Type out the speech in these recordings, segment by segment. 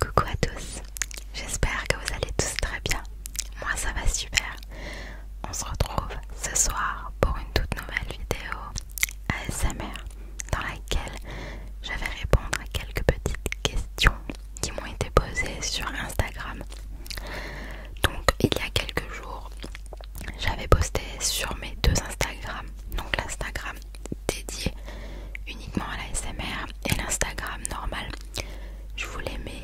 Coucou à tous, j'espère que vous allez tous très bien. Moi ça va super. On se retrouve ce soir pour une toute nouvelle vidéo ASMR dans laquelle je vais répondre à quelques petites questions qui m'ont été posées sur Instagram. Donc il y a quelques jours, j'avais posté sur mes deux Instagram, donc l'Instagram dédié uniquement à la SMR et l'Instagram normal. Je vous les mets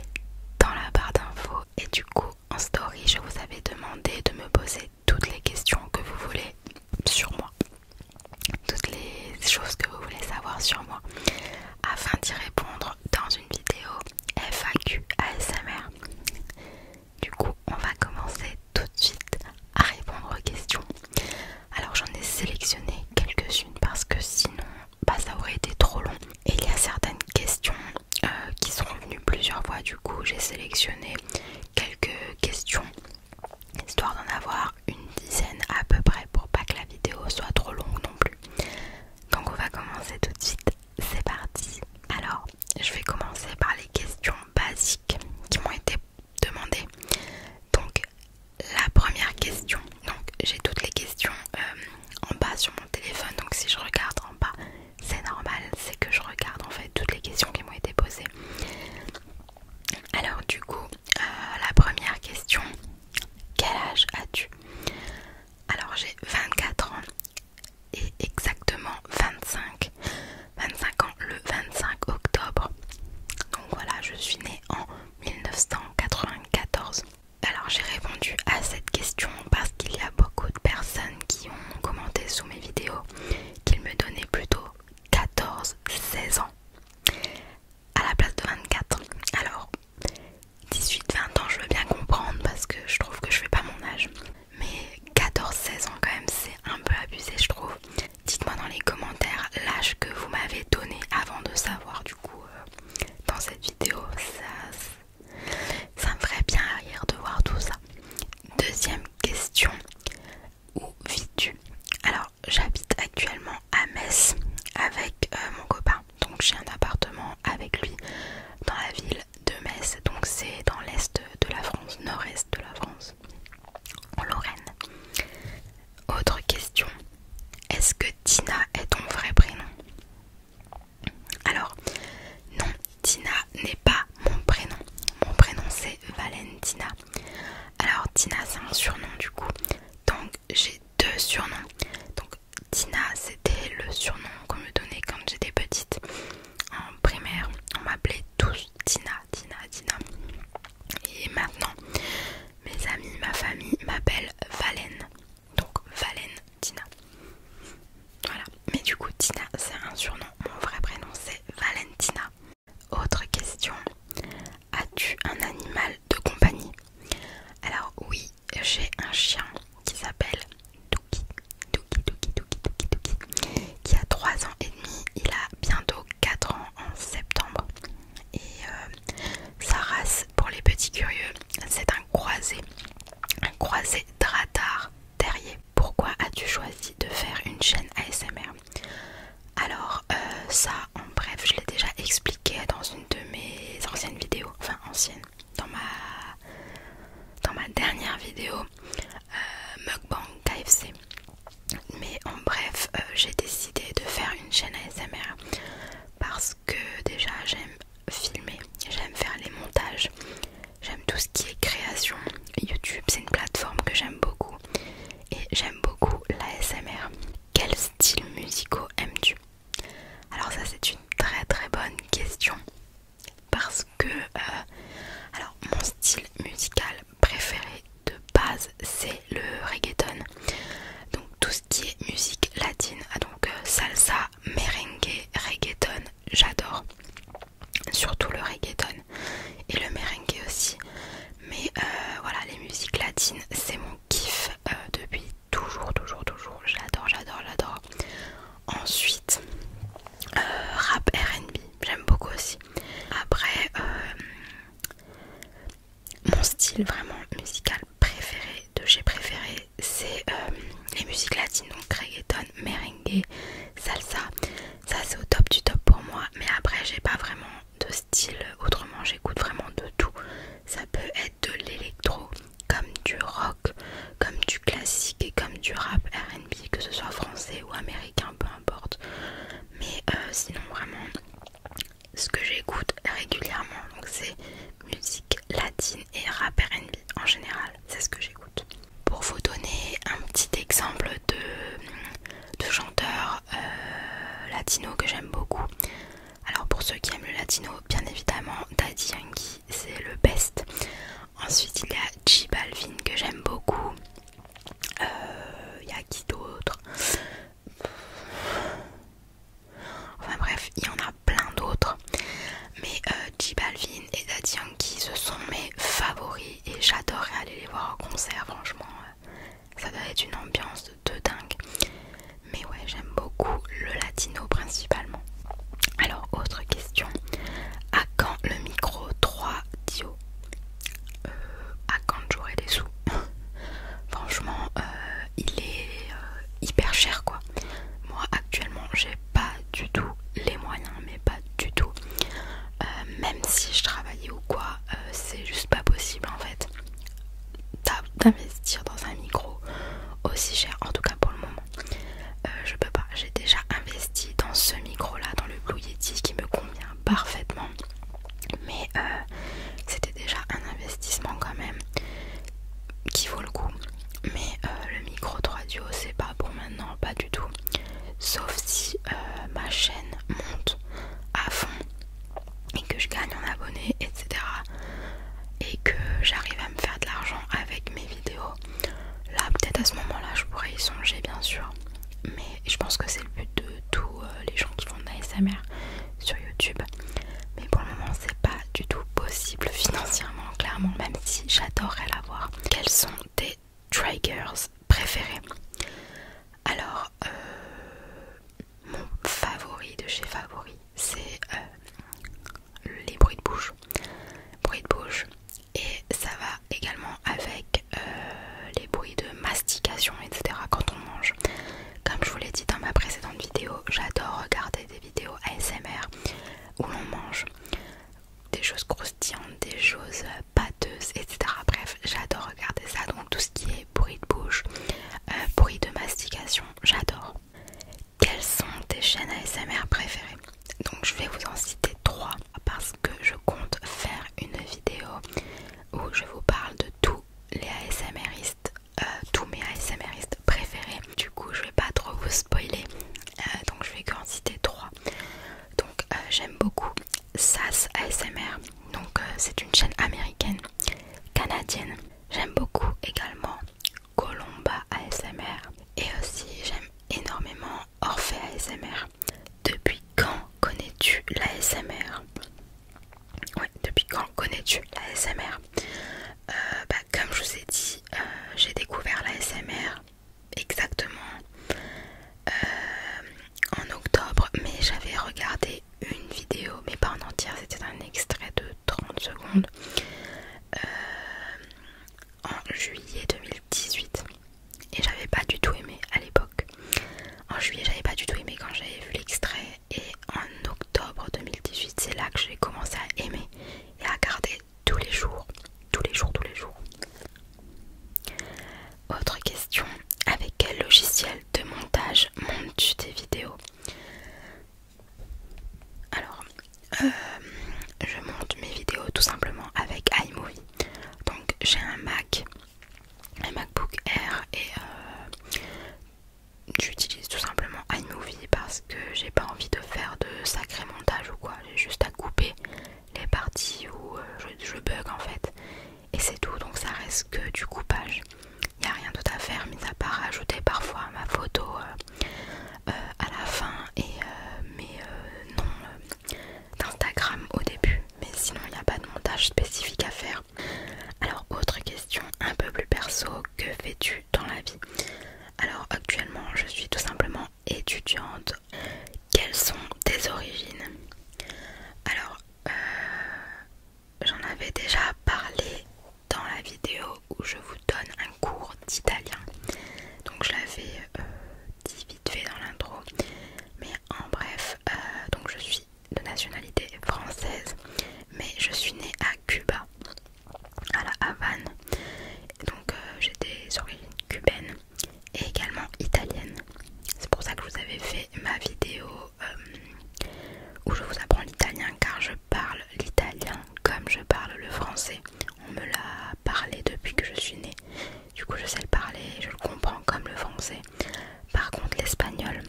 dans la barre d'infos et du coup en story je vous avais demandé de me poser toutes les questions que vous voulez sur moi, toutes les choses que vous voulez savoir sur moi afin d'y répondre dans une vidéo FAQ ASMR. Du coup on va commencer tout de suite à répondre aux questions. Alors j'en ai sélectionné quelques-unes parce que sinon bah, ça aurait été trop long. Et il y a certaines questions euh, qui sont venues plusieurs fois, du coup j'ai sélectionné quelques questions histoire d'en avoir une dizaine à peu près pour pas que la vidéo soit trop longue non plus. Donc on va commencer tout de suite, c'est parti. Alors je vais commencer par les questions basiques qui m'ont été posées demander. Donc la première question, donc j'ai toutes les questions euh, en bas sur mon téléphone, donc si je regarde en bas, c'est normal, c'est que je regarde en fait toutes les questions qui m'ont été posées. Alors du coup, euh, la première question, quel âge as-tu Alors j'ai 24 ans et exactement 25, 25 le 25 octobre. Donc voilà, je suis née en 1994. Alors j'ai répondu à cette question parce qu'il y a beaucoup de personnes qui ont commenté sous mes vidéos qu'ils me donnaient plutôt 14-16 ans à la place de 24. Alors 18-20 ans je veux bien comprendre parce que je trouve que je fais pas mon âge. Mais 14-16 ans quand même c'est un peu abusé je trouve. Dites-moi dans les commentaires l'âge que vous m'avez donné avant de savoir du coup euh, dans cette vidéo. Ça, me ferait bien rire de voir tout ça. Deuxième question. Où vis-tu Alors j'habite actuellement à Metz avec euh, mon copain. Donc j'ai un appartement avec lui dans la ville de Metz. Donc c'est dans l'est de la France, nord-est de la France. Lorraine. Autre question, est-ce que Tina est ton vrai prénom Alors, non, Tina n'est pas mon prénom. Mon prénom c'est Valentina. Alors Tina c'est un surnom du coup. Donc j'ai deux surnoms. Donc Tina c'était le surnom qu'on me donnait quand j'étais petite. En primaire, on m'appelait tous Tina, Tina, Tina. Et maintenant, mes amis, ma famille m'appelle Valen. Donc Valen Tina. Voilà. Mais du coup, Tina, c'est un surnom. Mon vrai prénom, c'est Valentina. Autre question. As-tu un animal de compagnie Alors oui, j'ai un chien qui s'appelle Duki Duki, Duki, Douki, Duki, Duki, Qui a 3 ans et demi. Il a bientôt 4 ans en septembre. Et euh, sa race, pour les petits curieux, c'est un croisé, un croisé radar terrier. Pourquoi as-tu choisi de faire une chaîne ASMR Alors, euh, ça, en bref, je l'ai déjà expliqué dans une de mes anciennes vidéos, enfin anciennes, dans ma, dans ma dernière vidéo Mugbang euh, Mukbang KFC mais en bref euh, j'ai décidé de faire une chaîne ASMR parce que déjà j'aime filmer, j'aime faire les montages, j'aime tout ce qui est création. YouTube c'est une plateforme que j'aime beaucoup et j'aime beaucoup l'ASMR. Quel style musicaux aimes-tu Alors ça c'est une très très bonne question parce que euh, alors mon style musical préféré de base c'est le reggaeton. Donc tout ce qui est musique latine, ah, donc euh, salsa, merengue, reggaeton, j'adore. Surtout le reggaeton et le merengue aussi. Mais euh, voilà, les musiques latines, c'est mon kiff euh, depuis toujours, toujours, toujours. J'adore, j'adore, j'adore. Ensuite, rap RB, j'aime beaucoup aussi. Après, euh, mon style vraiment musical préféré de j'ai préféré, c'est euh, les musiques latines, donc reggaeton, merengue, salsa. Ça c'est au top du top pour moi, mais après j'ai pas vraiment de style. Autrement, j'écoute vraiment de tout. Ça peut être de l'électro, comme du rock, comme du classique et comme du rap RB, que ce soit français ou américain, importe. Mais euh, sinon vraiment ce que j'écoute régulièrement donc c'est musique latine et rap RB en général, c'est ce que j'écoute. Pour vous donner un petit exemple de, chanteur euh, latino que j'aime beaucoup. Alors pour ceux qui aiment le latino, bien évidemment Daddy Yankee c'est le best. Ensuite il y a J Balvin que j'aime beaucoup. Il euh, y a qui d'autre Enfin bref, il y en a plein d'autres. Mais euh, J Balvin et Daddy Yankee, ce sont mes favoris et j'adorerais aller les voir en concert, franchement. Euh, ça doit être une ambiance de dingue. Mais ouais, j'aime beaucoup le latino principalement. Alors, autre question. À quand le micro 3 Dio euh, à quand j'aurai des sous. Franchement, euh, il est euh, hyper cher quoi. Moi actuellement, j'ai pas du tout les moyens, mais pas du tout. même si je travaillais ou quoi, c'est juste pas possible en fait d'investir dans un micro aussi cher, en tout cas pour le moment. je peux pas, j'ai déjà investi dans ce micro là, dans le Blue Yeti qui me convient parfaitement mais euh, c'était déjà un investissement quand même qui vaut le coup mais euh, le micro 3 duo c'est pas pour maintenant pas du tout sauf si euh, ma chaîne monte à fond et que je gagne en abonnés etc et que j'arrive à me faire de l'argent avec mes vidéos là peut-être à ce moment là je pourrais y songer bien sûr mais je pense que c'est le but de tous euh, les gens qui font de l'ASMR sur YouTube. Mais pour le moment, c'est pas du tout possible financièrement, clairement, même si j'adorerais l'avoir. Quels sont tes triggers préférés Alors, euh, mon favori de chez Favori, c'est euh, les bruits de bouche. Bruits de bouche, et ça va également avec euh, les bruits de mastication, etc. quand on mange. Comme je vous l'ai dit dans ma précédente vidéo, j'adore regarder des vidéos ASMR où l'on mange des choses croustillantes, des choses pâteuses, etc. Bref, j'adore regarder ça. Donc tout ce qui est bruit de bouche, euh, bruit de mastication, j'adore. Quelles sont tes chaînes ASMR préférées Donc je vais vous en citer trois parce que je compte faire une vidéo où je vous parle de tous les ASMRistes, euh, tous mes ASMRistes préférés. Du coup, je vais pas trop vous spoiler, euh, donc je vais qu'en citer trois. Donc, euh, j'aime beaucoup SAS ASMR, donc c'est une chaîne américaine, canadienne. J'aime beaucoup également Colomba ASMR et aussi j'aime énormément Orphée ASMR. Depuis quand connais-tu l'ASMR Ouais, depuis quand connais-tu l'ASMR euh, bah, Comme je vous ai dit, euh, j'ai découvert l'ASMR exactement euh, en octobre, mais j'avais regardé une vidéo, mais pas en entière, c'était un extrait de 30 secondes en juillet 2018 et j'avais pas du tout aimé à l'époque. En juillet, j'avais pas du tout aimé quand j'avais vu l'extrait et en octobre 2018, c'est là que j'ai commencé à aimer et à regarder tous les jours, tous les jours, tous les jours. Autre question, avec quel logiciel de montage montes-tu tes vidéos Alors, euh, je monte mes vidéos tout simplement avec iMovie. Donc j'ai un Mac un MacBook Air et euh, j'utilise tout simplement iMovie parce que j'ai pas envie de faire de sacré montage ou quoi, j'ai juste à couper les parties où euh, je, bug en fait et c'est tout donc ça reste que du coupage. Il n'y a rien d'autre à faire mis à part rajouter parfois ma photo euh, à la fin et mais non d'Instagram au début, mais sinon il n'y a pas de montage spécifique à faire. Alors autre question un peu plus perso, que fais-tu dans la vie Alors actuellement je suis tout simplement étudiante. Quelles sont tes origines Alors euh, j'en avais déjà parlé dans la vidéo où je vous donne un cours d'italien. Donc je l'avais euh, dit vite fait dans l'intro. Mais en hein, bref, euh, donc je suis de nationalité française, mais je suis née à Cuba, à la Havane. Donc euh, j'étais sur cubaine et également italienne C'est pour ça que vous avez fait ma vidéo euh, où je vous apprends l'italien car je parle l'italien comme je parle le français. On me l'a parlé depuis que je suis née. Du coup, je sais le parler, je le comprends comme le français. Par contre, l'espagnol,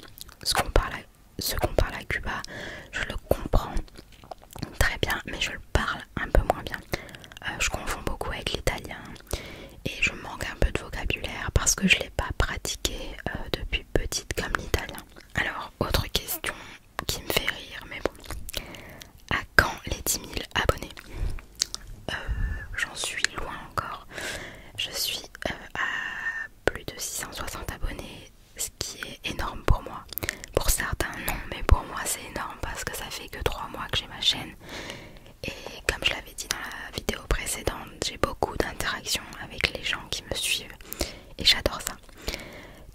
ce qu'on parle, à Cuba, je le comprends très bien, mais je le parle un peu moins bien. Euh, je confonds beaucoup avec l'italien et je manque un peu de vocabulaire parce que je ne l'ai pas pratiqué euh, depuis petite comme l'italien. Alors, autre question qui me fait rire, mais bon. À quand les 10 000 abonnés euh, j'en suis loin encore. Je suis euh, à plus de 660 abonnés, ce qui est énorme pour moi. Pour certains, non, mais pour moi, c'est énorme parce que ça fait que 3 mois que j'ai ma chaîne. Et comme je l'avais dit dans la vidéo précédente, j'ai beaucoup d'interactions avec les gens qui me suivent et j'adore ça.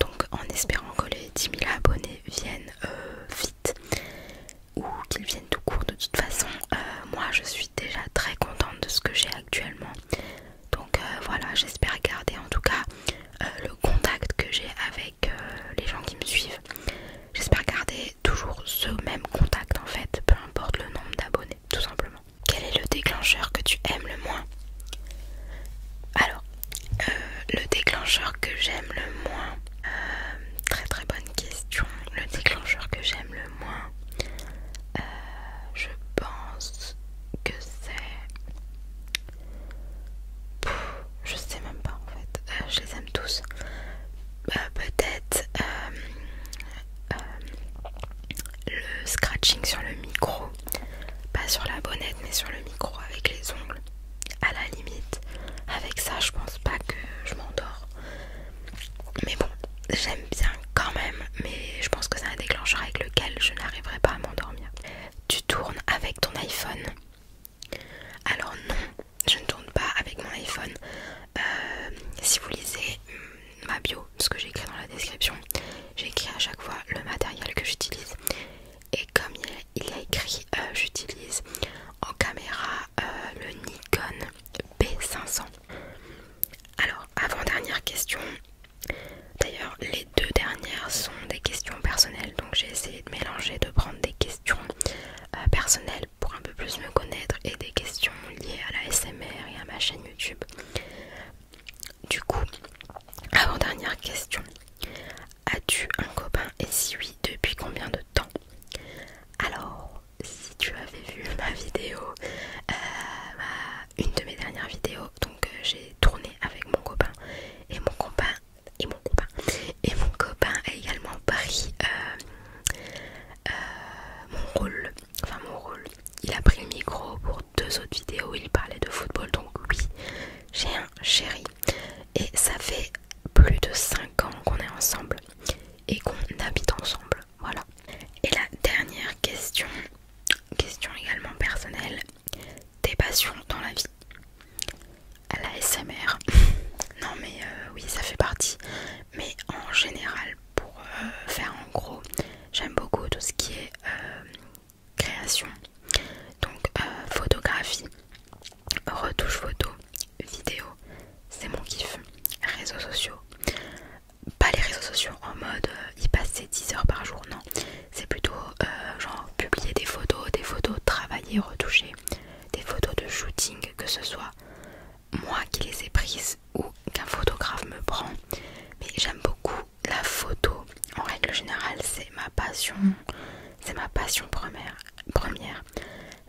Donc en espérant que les 10 000 abonnés viennent euh, vite, ou qu'ils viennent tout court de toute façon euh, moi je suis déjà très contente de ce que j'ai actuellement donc euh, voilà j'espère garder en tout cas euh, le contact que j'ai avec les gens qui me suivent j'espère garder toujours ce même contact en fait peu importe le nombre d'abonnés tout simplement quel est le déclencheur que tu aimes le moins alors le déclencheur que j'aime le moins très très bon question. Le déclencheur que j'aime le moins, euh, je pense que c'est. Je sais même pas en fait. Euh, je les aime tous. Euh, peut-être le scratching sur le micro. Pas sur la bonnette, mais sur le micro avec les ongles. À la limite, avec ça, je pense pas que je m'endors. Mais bon, j'aime bien quand même, mais je pense que c'est un déclencheur avec lequel je n'arriverai pas à m'endormir. Tu tournes avec ton iPhone Alors non, je ne tourne pas avec mon iPhone. Euh, si vous lisez mm, ma bio, ce que j'ai écrit dans la description, J'écris à chaque fois le matériel que j'utilise. Et comme il a écrit, euh, j'utilise en caméra euh, le Nikon B500. Alors, avant-dernière question. D'ailleurs, les deux dernières sont des questions personnelles, donc j'ai essayé de mélanger, de prendre des questions euh, personnelles pour un peu plus me connaître et des questions liées à la SMR et à ma chaîne YouTube. Du coup, avant-dernière question. As-tu un copain et si oui, depuis combien de temps Alors, si tu avais vu ma vidéo, euh, une de mes dernières vidéos, donc euh, j'ai tourné avec mon copain et mon copain et mon copain et mon copain a également pris euh, mon rôle, enfin mon rôle. Il a pris le micro pour deux autres vidéos où il parlait de football, donc oui, j'ai un chéri. Et ça fait plus de 5 ans qu'on est ensemble et qu'on habite ensemble. Voilà. Et la dernière question, question également personnelle, tes passions dans la vie. La SMR. non mais euh, oui ça fait partie. Mais en général pour euh, faire en gros, j'aime beaucoup tout ce qui est euh, création. Donc photographie, Retouche photo, vidéo, c'est mon kiff. Réseaux sociaux, pas les réseaux sociaux en mode euh, y passer 10 heures par jour, non. C'est plutôt euh, genre publier des photos, des photos travailler, retouchées des photos de shooting, que ce soit moi qui les ai prises ou qu'un photographe me prend. Mais j'aime beaucoup la photo. En règle générale, c'est ma passion. C'est ma passion première. première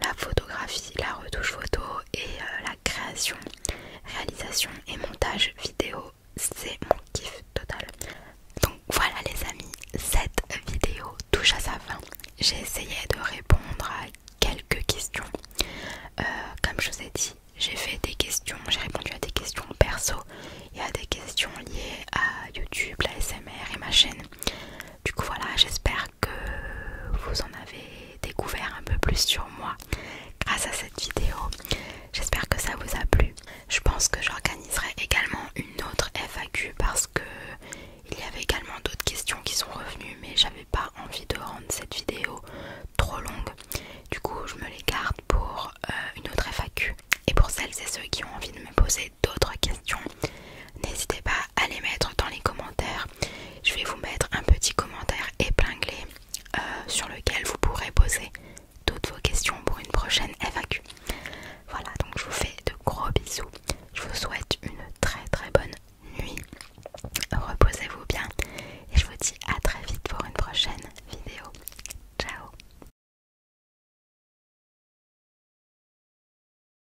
la photographie, la retouche photo et euh, la création, réalisation et montage vidéo. C'est mon kiff total. Donc voilà les amis, cette vidéo touche à sa fin. J'ai essayé de répondre à quelques questions. Euh, comme je vous ai dit, j'ai fait des questions, j'ai répondu à des questions perso et à des questions liées à YouTube, la SMR et ma chaîne. Du coup voilà, j'espère que vous en avez découvert un peu plus sur moi grâce à cette vidéo. J'espère que ça vous a plu. Je pense que j'organiserai également une autre FAQ parce que il y avait également d'autres questions qui sont revenues mais j'avais pas envie de rendre cette vidéo trop longue. Du coup, je me les garde pour euh, une autre FAQ. Et pour celles et ceux qui ont envie de me poser d'autres questions, n'hésitez pas à les mettre dans les commentaires. Je vais vous mettre un petit commentaire épinglé euh, sur lequel vous pourrez poser toutes vos questions pour une prochaine FAQ. Voilà, donc je vous fais de gros bisous. Je vous souhaite une très très bonne nuit. Reposez-vous bien et je vous dis à très vite pour une prochaine vidéo. Ciao